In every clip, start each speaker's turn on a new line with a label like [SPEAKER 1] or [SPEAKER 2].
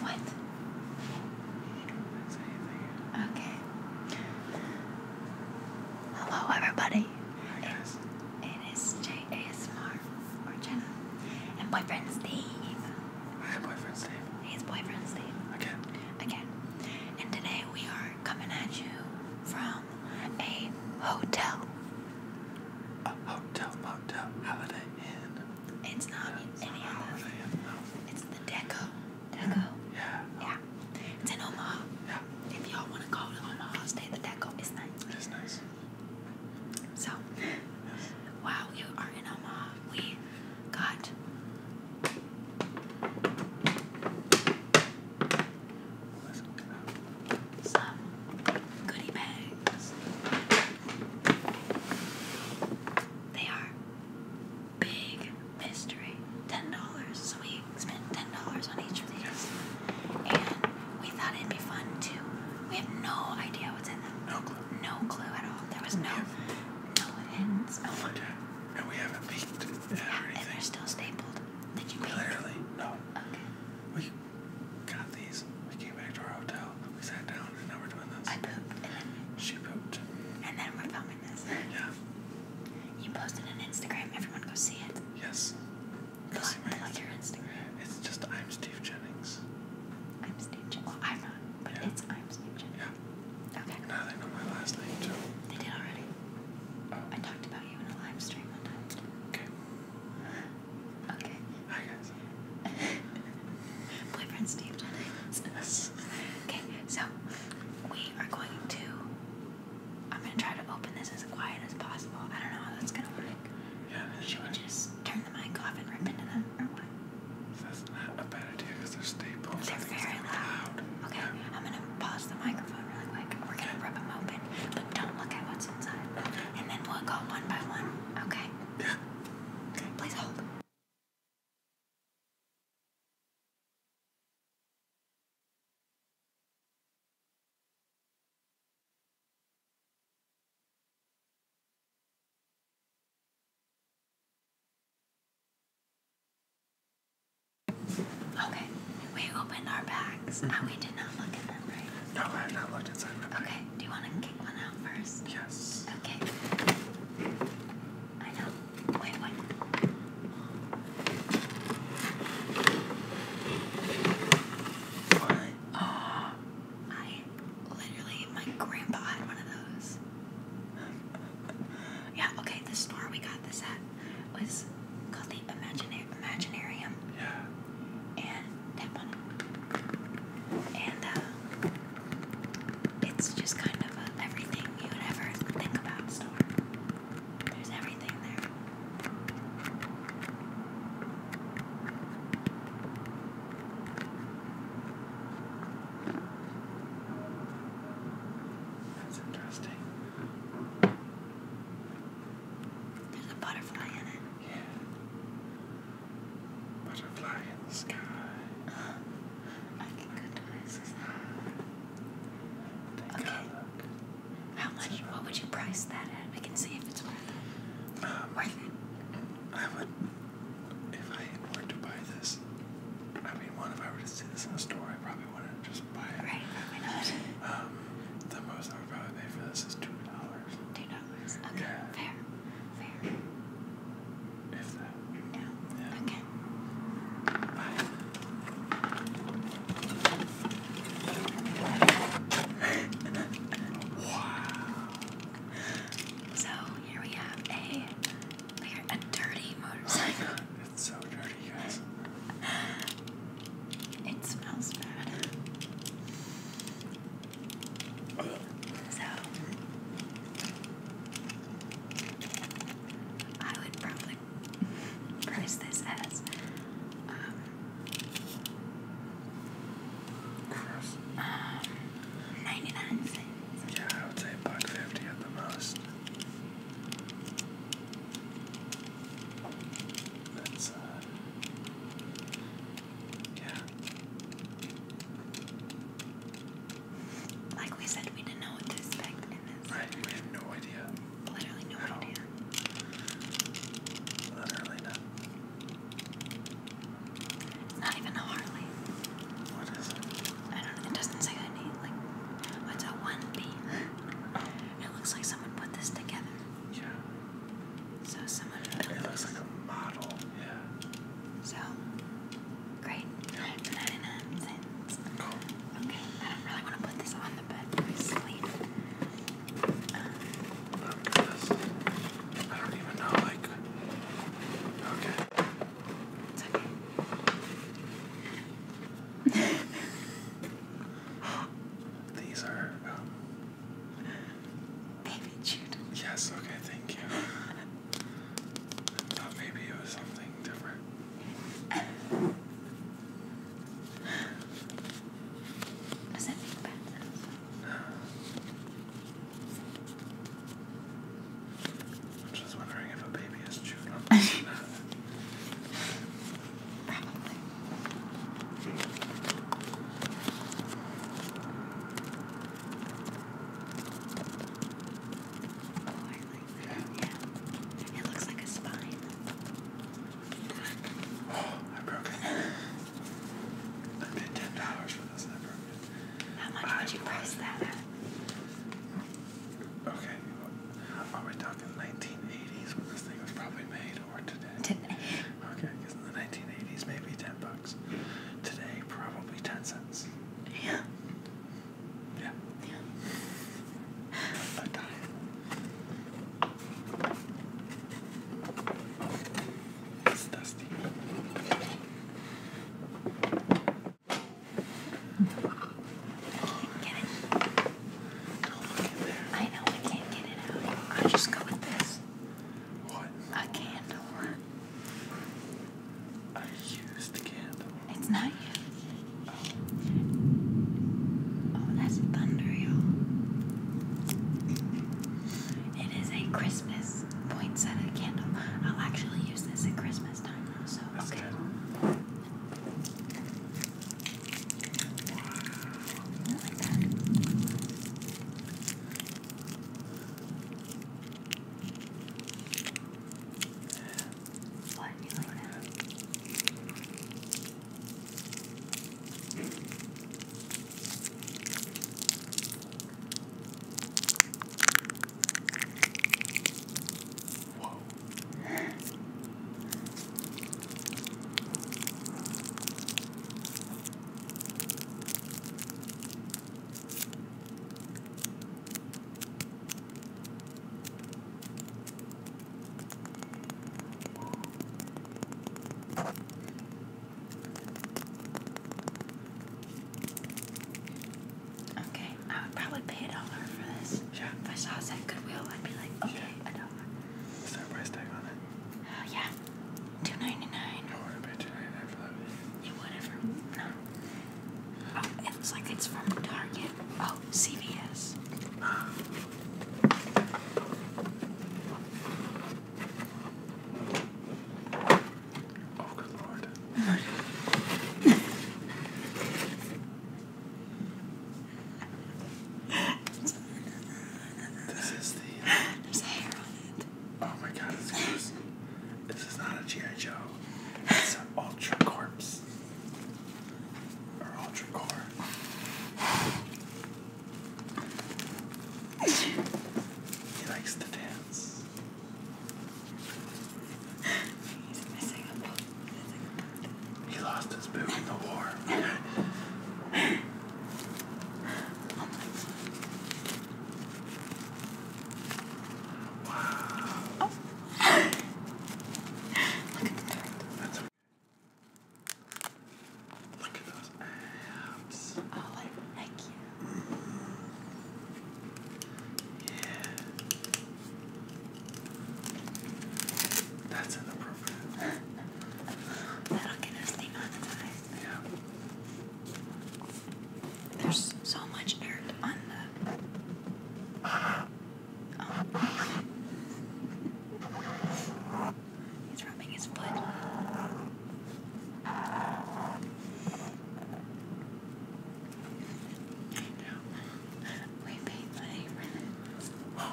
[SPEAKER 1] What? Okay. Hello, everybody. It, it is J ASMR and boyfriend Steve. Hi, boyfriend Steve. He's boyfriend Steve. Again. Again. And today we are coming at you from a hotel. A hotel, motel, holiday inn. It's not yeah, any of those. It's the Deco. Deco. Yeah. Yeah. It's in Omaha. Yeah. If y'all want to go to Omaha, stay at the Deco. It's nice. It's nice. So, yes. you are in Omaha, we got some goodie bags. They are big mystery. Ten dollars. So we spent ten dollars on each of these. And we thought it'd be fun too. We have no idea what's in them. No clue. No clue at all. There was no no hints. Oh no And we haven't peeked. Yeah, and they're still stapled. Did you peek? no. Okay.
[SPEAKER 2] We got these. We came back to our hotel.
[SPEAKER 1] We sat down, and now we're doing this. I pooped. she pooped. And then we're filming this. Yeah. You posted on Instagram. Everyone go see it. Yes. see my Instagram. your Instagram. It's just I'm Steve Jennings. I'm Steve Jennings. Well, I'm not, but it's I'm Steve Jennings. Yeah. Okay. Now they know my last name too. They did already. Oh. I talked about you in a live one time. Okay. Okay. Hi guys. Boyfriend Steve Jennings. Yes. Okay, so we are going to. I'm gonna try to open this as quiet as possible. I don't know how that's gonna work. Yeah. Should right. just turn the mic off and rip into them, That's not a bad idea they're staples. They're very loud. Okay, I'm gonna pause the microphone really quick. We're gonna rip them open, but don't look at what's inside. And then we'll go one by one. Okay. Okay, please hold. Okay, we opened our bags mm-hmm. and ah, we did not look in them, right? No, I have not looked inside Okay, do you want to take one out first? Yes. Okay. I know. Wait, What? Oh, I literally, my grandpa had one of those. yeah, okay, the store we got this at was called the Imaginarium. Yeah and tap on And uh, it's just kind of everything you would ever think about There's everything there.
[SPEAKER 2] That's interesting. There's a butterfly in it. Yeah. Butterfly in the sky.
[SPEAKER 1] Uh, I can go to this. Okay. How much? What would you price that at? We can see if it's worth it. Um, worth it. I would, if I were to buy this. I mean, one
[SPEAKER 2] if I were to see this in a store, I probably wouldn't just buy it. Right, probably not. Um, the most I would probably pay for this is two dollars. Two dollars. Okay, fair. Fair. wow. So here we have a a dirty motorcycle. it's so dirty, guys.
[SPEAKER 1] It smells bad. So I would probably
[SPEAKER 2] price this as um, um 99 Yeah, I would say buck fifty at the most. That's uh, yeah.
[SPEAKER 1] Like we said, we didn't know what to
[SPEAKER 2] expect in this. Right, we have no idea. Literally no idea. All. Literally not.
[SPEAKER 1] not even a Harley. What is it? I don't know. It doesn't say any. Like, what's a 1B? it looks like someone put this together. Yeah. So someone It looks like a model, yeah. So, great. Nine um, Okay, I don't really want to put this on the bed for sleep. Um,
[SPEAKER 2] oh goodness. I don't even know, Okay. These are um, Baby Jude. Yes, okay, thank you. I thought maybe it was something different. Was that Big Bad I'm just wondering if a baby is chewed Probably. Oh, I broke it. I paid ten dollars for this I broke it. How much I would you price that at? Okay. Are we talking 1980s when this thing was probably made or today? Today. Okay, because in the 1980s maybe 10 bucks. Today, probably ten cents. Yeah. Yeah. Yeah. A dime. It's dusty.
[SPEAKER 1] I can't get it. I know I can't get it out. I just go with this. A candle. I used the candle. It's not you. Oh, oh that's thunder, y'all. It is a Christmas poinsettia candle. I'll actually use this at Christmas time, though, so that's okay. Good. What you like that? Whoa. Okay, I would probably pay a dollar for this. Sure. If I saw it Goodwill, I'd be like, okay, a dollar. Is there price tag on it? Uh, yeah. Two ninety nine. Oh, I want two ninety nine for that. You whatever. No. Oh, it looks like it's from Target. Oh, CVS. Oh, good lord.
[SPEAKER 2] This is the. Uh, There's hair on it. Oh my god, it's gross. This is not a G.I. Joe. It's an Ultra Corpse. Or Ultra Core. He likes to dance. He lost his boot in the war. Oh my. Wow. Look at the That's okay. Look at those abs.
[SPEAKER 1] Oh, like, heck yeah. That's inappropriate. That'll get us demonetized. There's so much dirt on the. Oh. He's rubbing his foot. Yeah. We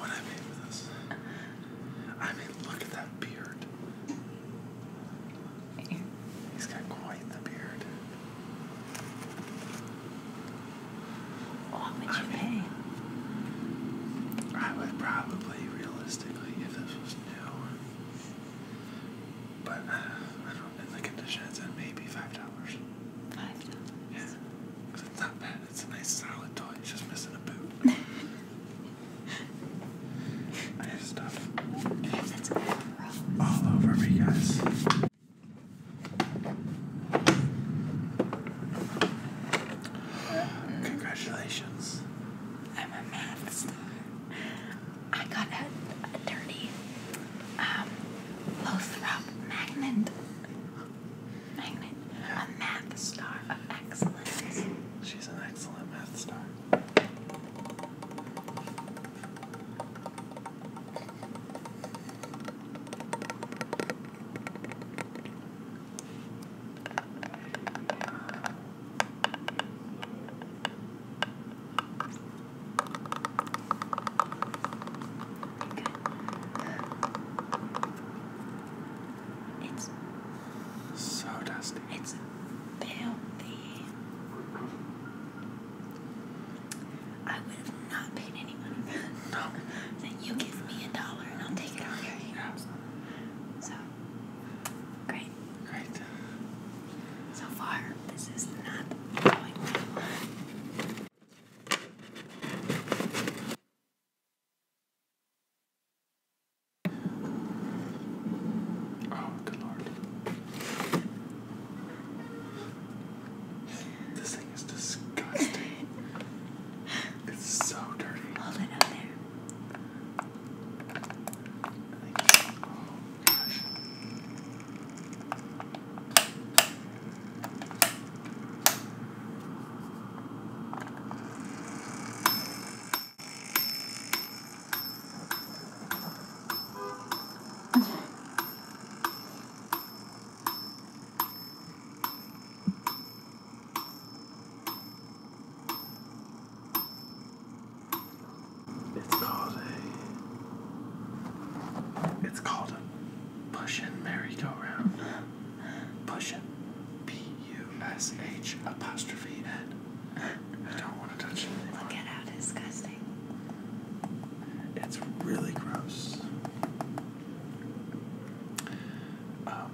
[SPEAKER 2] would I pay for this? I mean, look at that beard. He's got quite the beard. Oh, what would you pay? I would probably, realistically, if this was new, but uh, I don't, in the condition maybe five dollars. Five dollars. Yeah, it's not bad. It's a nice solid toy. just missing a
[SPEAKER 1] boot. I have stuff all over me, guys. Congratulations. I'm a math star. I got a, dirty um, Lothrop magnet. Magnet. A math star of
[SPEAKER 2] She's an excellent math star so dusty it's it's
[SPEAKER 1] filthy. I would have not paid any money No. That you give me a dollar and I'll take it out So great. Great. So far, this is not going well. Oh, good lord. This thing is disgusting. it's so dirty. Hold it out there.
[SPEAKER 2] It's called a. It's called a push and merry-go-round. Push and P U-S-H apostrophe N. I don't want to touch it anymore. Look at how disgusting. It's really gross. Um,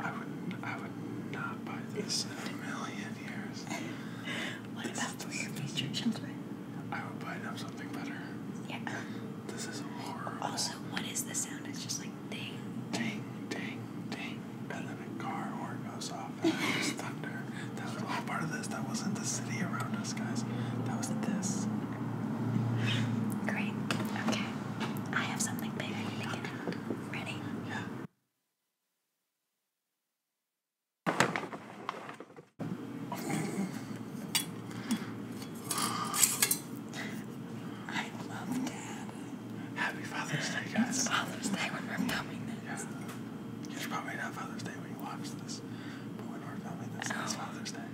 [SPEAKER 2] I would, I would not buy this in a
[SPEAKER 1] million years. what this, about for your future children? I would buy them something better. Yeah. This is horrible. Also, what is the sound? It's just like ding
[SPEAKER 2] ding. Ding ding ding. And then a car horn goes off and it was thunder. That was all part of this. That wasn't the city around us, guys. That was this. Great.
[SPEAKER 1] Okay. I have something big I need to get out. Ready? Yeah.
[SPEAKER 2] I love dad. Happy Father's Day, guys. It's Father's Day when we're filming this. you It's probably not Father's Day when you watch this, but when we're filming this, oh. Father's Day.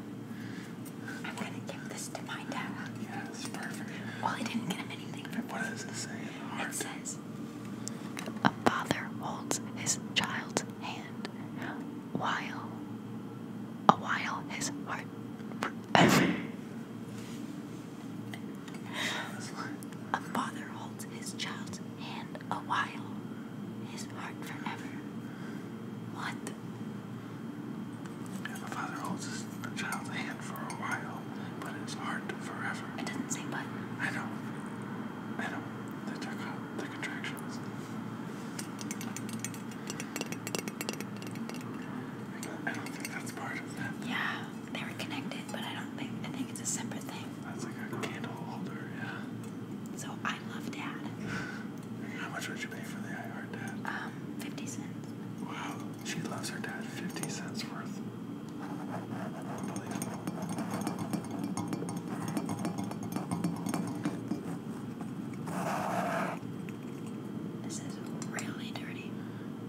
[SPEAKER 1] I'm going to give this to my dad. Yeah, perfect. Well, I didn't get him anything for What does it say in the It says, A father holds his child's hand while, a while his heart. A father holds his child's hand a while, his heart forever. What? Yeah, the father holds his
[SPEAKER 2] child's hand for a while, but his heart forever. It doesn't say what. I know. I know. They took out the contractions.
[SPEAKER 1] I don't think that's part of that. Yeah, they were connected, but I don't think I think it's a separate thing. That's like a candle holder, yeah. So I love Dad.
[SPEAKER 2] How much would you pay for the I
[SPEAKER 1] Heart Dad? Um, fifty
[SPEAKER 2] cents. Wow, she loves her dad. Fifty cents worth. Unbelievable. This is really dirty.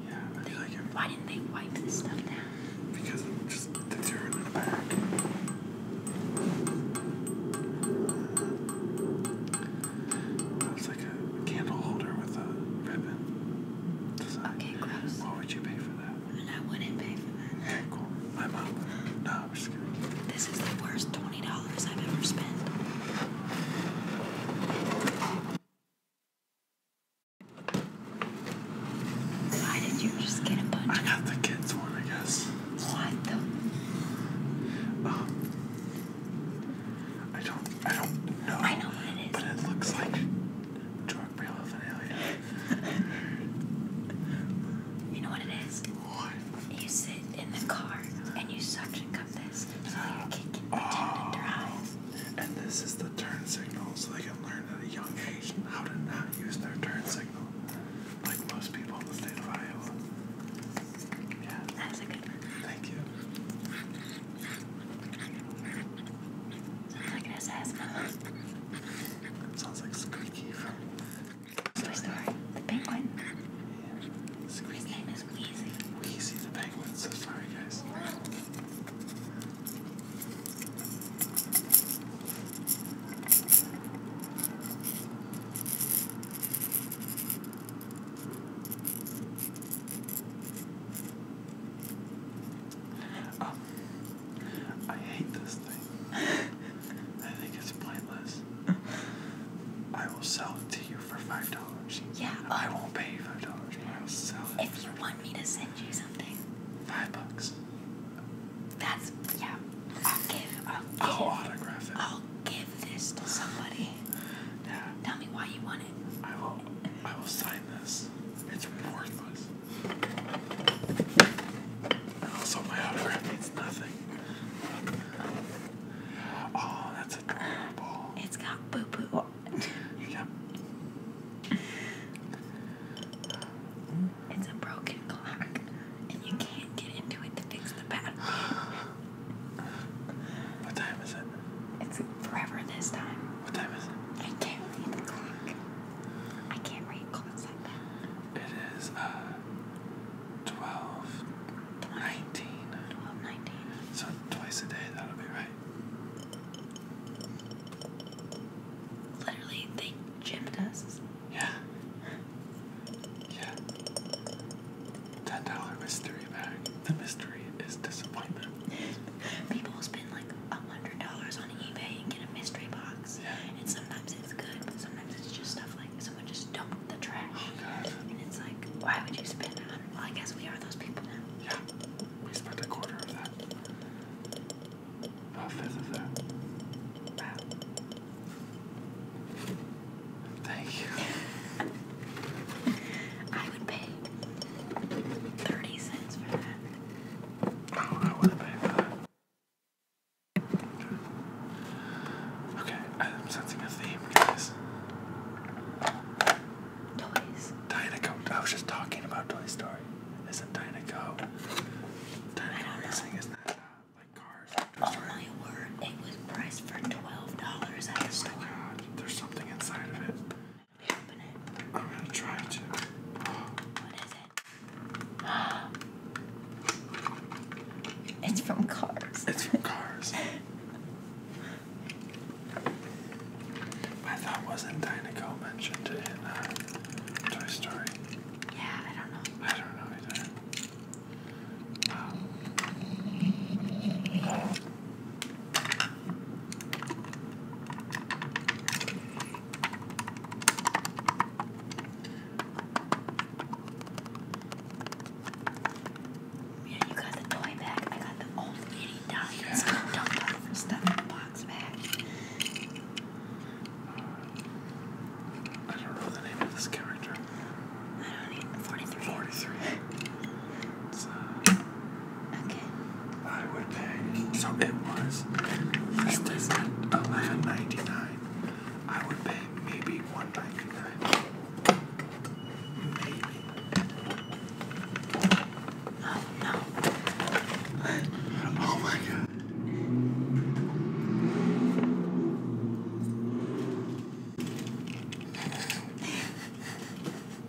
[SPEAKER 2] Yeah, I feel like Why didn't they wipe this stuff down? Because of just the dirt in the back. That's like a candle holder with a ribbon. Design. Okay,
[SPEAKER 1] gross. What would you pay for that? And I wouldn't pay for that. Okay, cool. My mom would. No, I'm just kidding. This is the worst $20 I've ever spent. Why
[SPEAKER 2] did you just get a bunch? I got the kids one, I guess. What the? Um, I don't, I don't know. I know what it is. But it looks like drug paraphernalia.
[SPEAKER 1] you know what it is? You sit in the car and you suction Oh. And this is the turn signal, so they can learn at a
[SPEAKER 2] young age how to not use their turn signal, like most people in the state of Iowa. Yeah. That's a good one. Thank you.
[SPEAKER 1] Sounds like an assassin. Sounds like Squeaky from Toy Story. The penguin. Squeeze
[SPEAKER 2] like this, Wheezy. the penguin. So sorry, guys. Um, I hate this thing. I think it's pointless. I will sell it to you for five dollars. Yeah. I won't pay you five dollars, If you
[SPEAKER 1] want me to send you something. Five bucks. That's yeah. I'll give. I'll, autograph it. I'll give this to somebody. Yeah. Tell me why you want it. I will. I will sign this. It's worthless. And also, my autograph means nothing. Oh, that's adorable. It's got boo boo It's a broken clock, and you can't get into it to fix the battery. What time is it? It's forever this time. What time is it? I can't read the clock. I can't read clocks like
[SPEAKER 2] that. It is uh, 12 19. 19. So twice a day,
[SPEAKER 1] that'll be right. Literally, they gypped us. Yeah. Yeah. Ten dollar mystery bag. The mystery is disappointment. People spend like a hundred dollars on eBay and get a mystery box. Yeah. And sometimes it's good, but sometimes it's just stuff like someone just dumped the trash. Oh god. And it's like, why would you spend a hundred? Well, I guess we are those people now. Yeah, we spent a quarter of that. A fifth of that. Man. Thank you. I would pay 30 cents for
[SPEAKER 2] that. Oh, I would pay for that. Okay, I'm sensing a theme, guys. Toys. Dynaco. I was just talking about Toy Story. Isn't Dynaco? Dynaco racing not that uh, like cars? Oh story. my It was priced for twelve dollars at the Oh my god! There's something inside
[SPEAKER 1] of it. I'm gonna try to. What
[SPEAKER 2] is it?
[SPEAKER 1] It's from Cars. It's from Cars.
[SPEAKER 2] My thought wasn't Dinoco mentioned in uh, Toy Story. Yeah, I don't know. I don't know either. Um,
[SPEAKER 1] yeah, you got the toy bag. I got the old lady dollies. stuff in the box bag. I don't know the name of this character. I don't need 43. 43. so, uh, okay. I would pay. So it was. This it was. 99 I would pay maybe 199 Oh no. oh my god.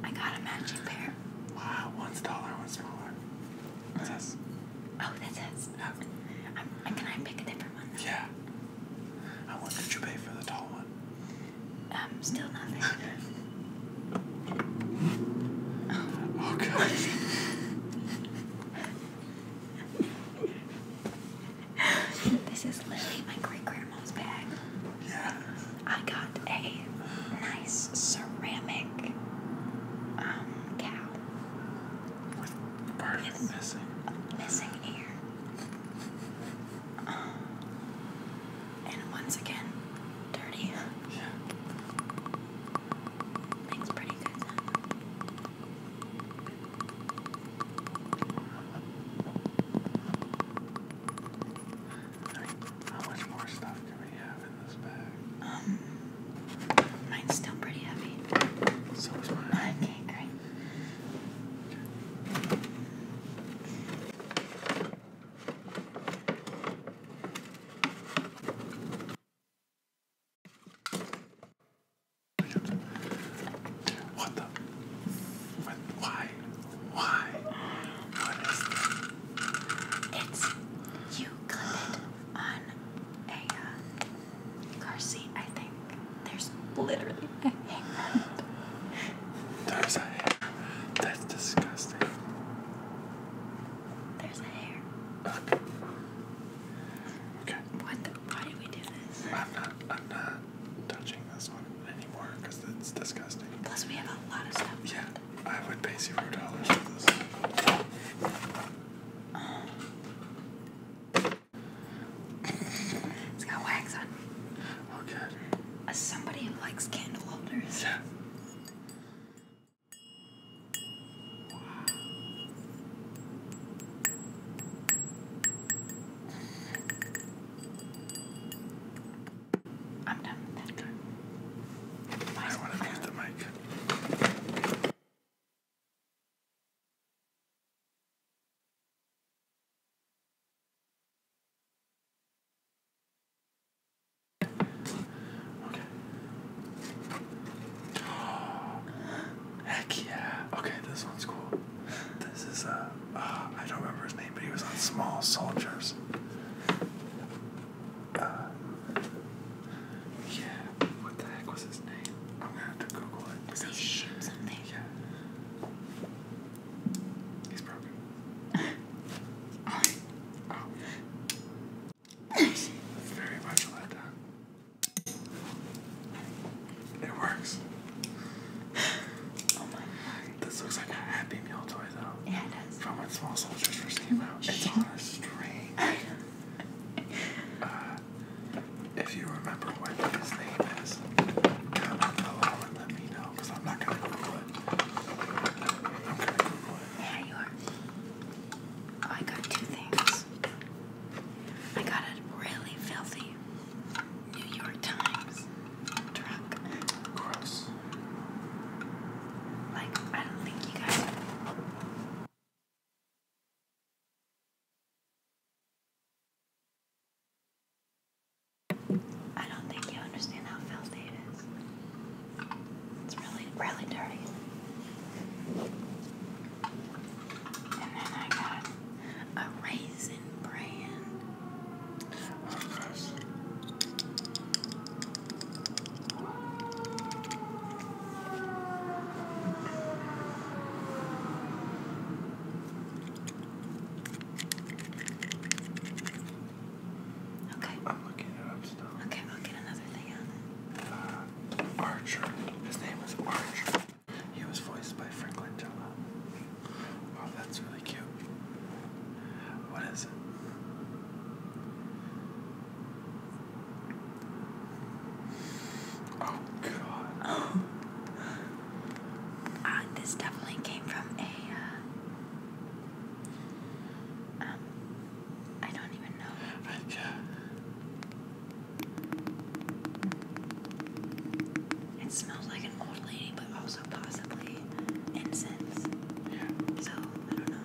[SPEAKER 1] I got a matching pair. Wow, one's taller, one's smaller. What's this? Oh, that's his. can I pick a different one? Yeah.
[SPEAKER 2] How much did you pay for the tall one?
[SPEAKER 1] I'm um, still nothing. oh god. this is literally my great grandma's bag. Yeah. I got a nice ceramic um, cow. the part with missing. missing ear and once again, dirty. Yeah. Makes pretty good How much more stuff do we have in this bag? Um, mine's still pretty heavy. So is mine. Okay, great.
[SPEAKER 2] What the? What, why? Why? What is
[SPEAKER 1] this? It's you got it on a uh, car seat, I think. There's literally
[SPEAKER 2] a hair. There's a hair. That's disgusting.
[SPEAKER 1] There's a hair. Okay. Okay. What the, why did we do this? I'm not I'm not touching this one anymore
[SPEAKER 2] because it's disgusting. Plus we have a lot of stuff. Yeah. I would pay zero dollars for this.
[SPEAKER 1] it's got wax on. Okay. As uh, somebody who likes candle holders. Yeah.
[SPEAKER 2] I'm done with that. Okay. I, want to mute the mic. Okay. Oh, heck yeah. Okay, this one's cool. This is a, uh, uh, don't remember his name, but he was on Small Soldiers. Uh, yeah, what the heck was his name? I'm gonna have to Google it. Was he Sheep something? Yeah. He's broken. oh. Very much let down. It works. Oh my god. This looks like a Happy Meal toy though. Yeah, From when Small Soldiers first came out. It's uh, if you remember what his name is, comment below and let me know. I'm going to Google to Google it. Yeah, you are.
[SPEAKER 1] Oh, I got two things. I got a really filthy New York Times truck. Gross. Like, I don't think you guys. I don't think you understand how filthy it is. It's really, really dirty. And then I got a raisin brand.
[SPEAKER 2] Okay. I'm looking up still. Okay, I'll get another thing uh, Archer. His name is Archer. He was voiced by Franklin Langella. Wow, that's really cute. What is it?
[SPEAKER 1] Oh, God. Uh, this definitely came from a. Uh, um, don't even know. It smells like an old lady, but also possibly incense. Yeah. So I don't know.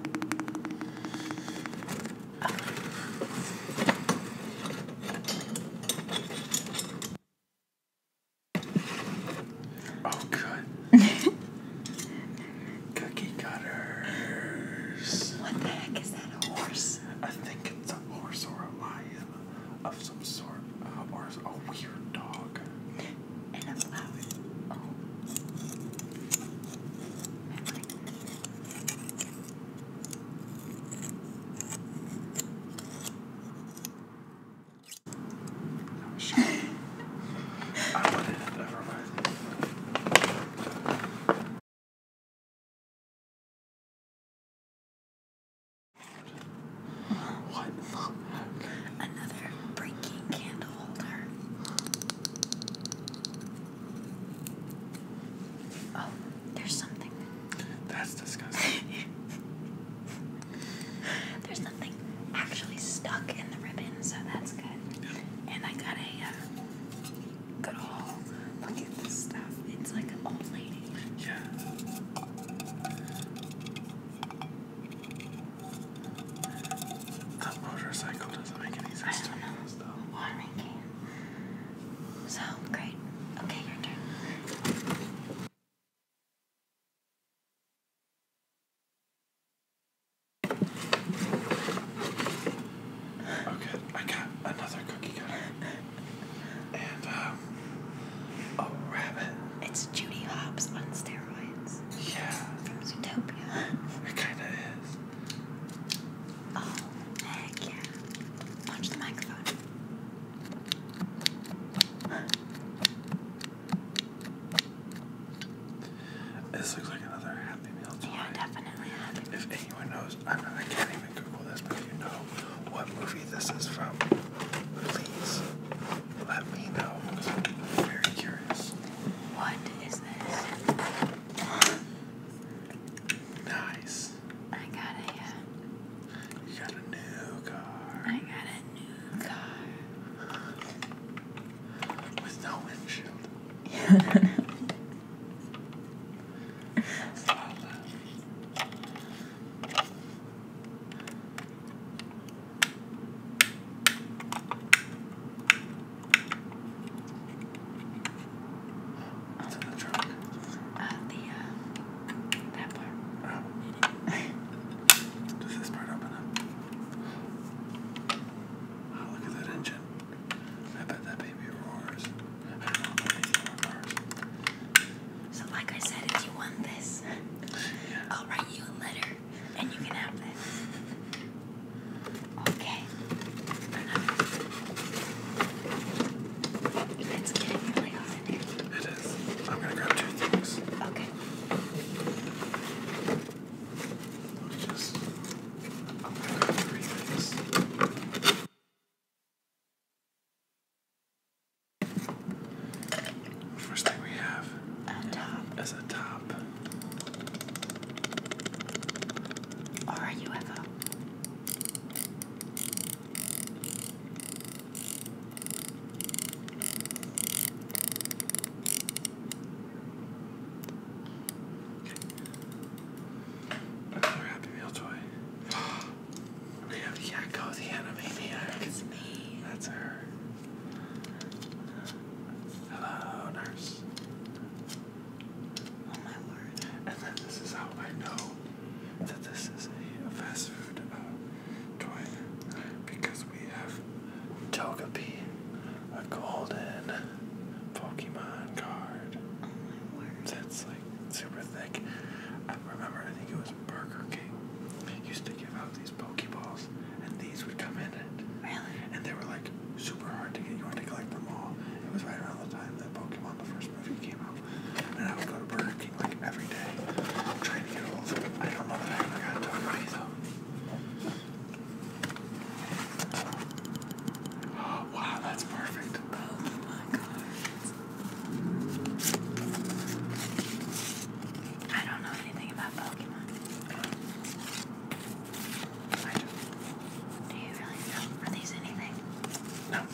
[SPEAKER 2] Oh, good. Cookie cutters. What the heck is that? A horse? I think it's a horse or a lion of some sort, uh, or a weird dog.
[SPEAKER 1] And flower. Oh. What the heck? Another breaking candle holder. Oh, there's something. That's disgusting. There's nothing actually stuck in the ribbon, so that's good. And I got a um, good haul. Look at this stuff. It's like an old lady. Yeah.
[SPEAKER 2] That motorcycle doesn't make any sense to
[SPEAKER 1] me. Though. Watering So great. Okay, your turn.
[SPEAKER 2] Okay, I got another cookie cutter. And, um, a rabbit. It's
[SPEAKER 1] Judy Hobbs on steroids. Yeah. From Zootopia. It kinda is. Oh, heck yeah. Punch the microphone.
[SPEAKER 2] This looks like another Happy Meal toy. Yeah, definitely Happy If anyone knows, I, mean, I can't even Google this, but if you know what movie this is from, please let me know I'm very curious. What is this? Nice. I got a. you got a new car. I got a car. With no windshield. Yeah. It's
[SPEAKER 1] in the truck. At the um, that part. Does this part open up? Oh, look at that engine. I bet that baby roars. I don't know if anything roars. So, like I said, if you want this, I'll write you a letter and you can have this. Okay. Let's really hard. It is. I'm gonna
[SPEAKER 2] grab two things. Okay. just. I'm gonna grab three things. First thing we have a top. is a top.
[SPEAKER 1] Or a UFO.
[SPEAKER 2] Another Happy Meal toy. we have Yakko the Animaniac. That's her. Hello, nurse. Oh my word. And then this is how I know that this is a fast food uh, because we have Togepi, a golden Pokemon card. Oh That's like super thick. I remember I think it was Burger King used to give out these Pokeballs and these would come in it. Really? And they were like super hard to get. You wanted to collect them all. It was right around the time that Pokemon the first movie came out and I would go to Burger King like every day, trying to get all old. I don't know that I ever got to money though. Oh, wow, that's perfect. Oh my god. I don't know anything about Pokemon. Do you really know? Are these anything? No.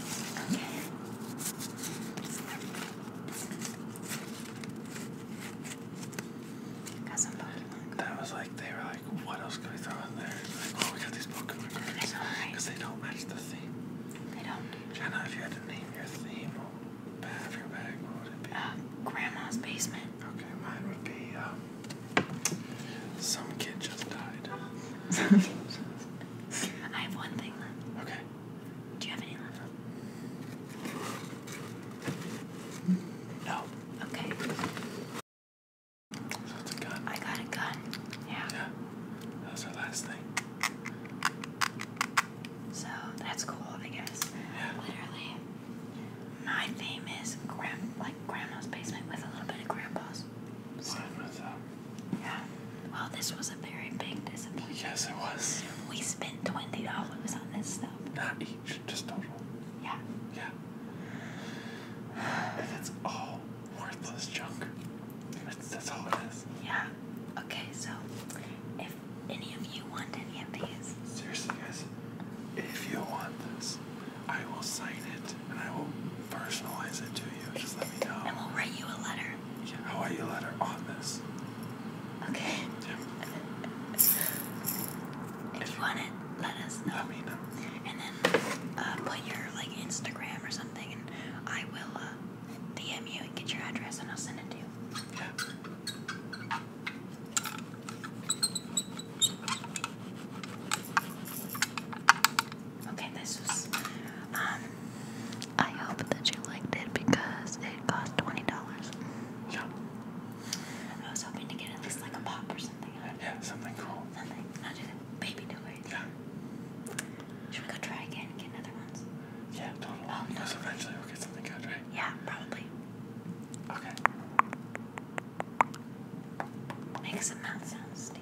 [SPEAKER 2] Okay. That was like they were like, what else can we throw in there? Like, oh, we got these Pokemon cards because they don't match the theme. They don't. Jenna, if you had to name your theme bag bag, what would it be? Uh, grandma's basement. Okay, mine would be um, some kid just died.
[SPEAKER 1] I have one thing left. Okay. Do you have any left? No. Okay. I got a gun. Yeah. Yeah. That was our last thing. So that's cool, I guess. Yeah. Literally, my theme is grand, like grandma's basement with a little bit of grandpa's. Mine was um, yeah. Well, this was a very big disappointment. Yes, it was. We spent twenty dollars on this stuff. Not each, just total.
[SPEAKER 2] Yeah. Yeah. And it's all worthless junk. That's, that's all it is.
[SPEAKER 1] Yeah. Okay, so if any of you want any of these. Seriously,
[SPEAKER 2] guys, if you want this, I will sign it and I will personalize it to you. Just let me know. And we'll write you a letter how are you let her on oh, this?
[SPEAKER 1] Okay. If you want it, let us know. Let me know. And then uh, put your like Instagram or something, and I will uh, DM you and get your address, and I'll send it to you. Okay, this was um, I hope that you liked it because it cost twenty dollars. Yeah. I was hoping to get at least like a pop or something. Yeah, something cool. Something. Not just baby toys. Yeah. Should we go try again get another
[SPEAKER 2] ones? Yeah, totally. Oh, because eventually we'll get something good, right? Yeah, probably. Okay. Make some mouth sounds, Steve.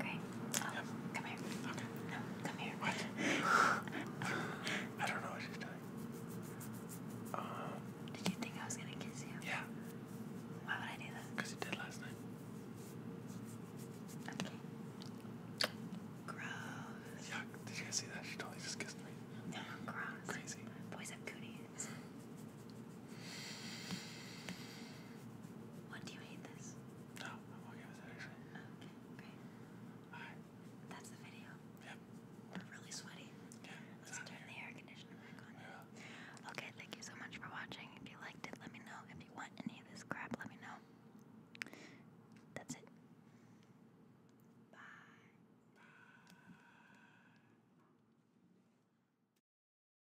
[SPEAKER 2] Okay. Oh, come here. No, come here. What? I don't know what she's doing. Um, did you think I was gonna kiss you? Yeah. Why would I do that? Because you did last night. Okay. Gross. Yuck. Did you guys see that? She totally just kissed me. No, gross. Crazy. Boys have
[SPEAKER 1] cooties. What do you hate this? No, I'm okay with it actually. Okay, great. Alright. That's the video. Yep. We're really sweaty. Yeah. Let's turn the air conditioner back on. Yeah. Okay, thank you so much for watching. If you liked it, let me know. If you want any of this crap, let me know. That's it. Bye. Bye.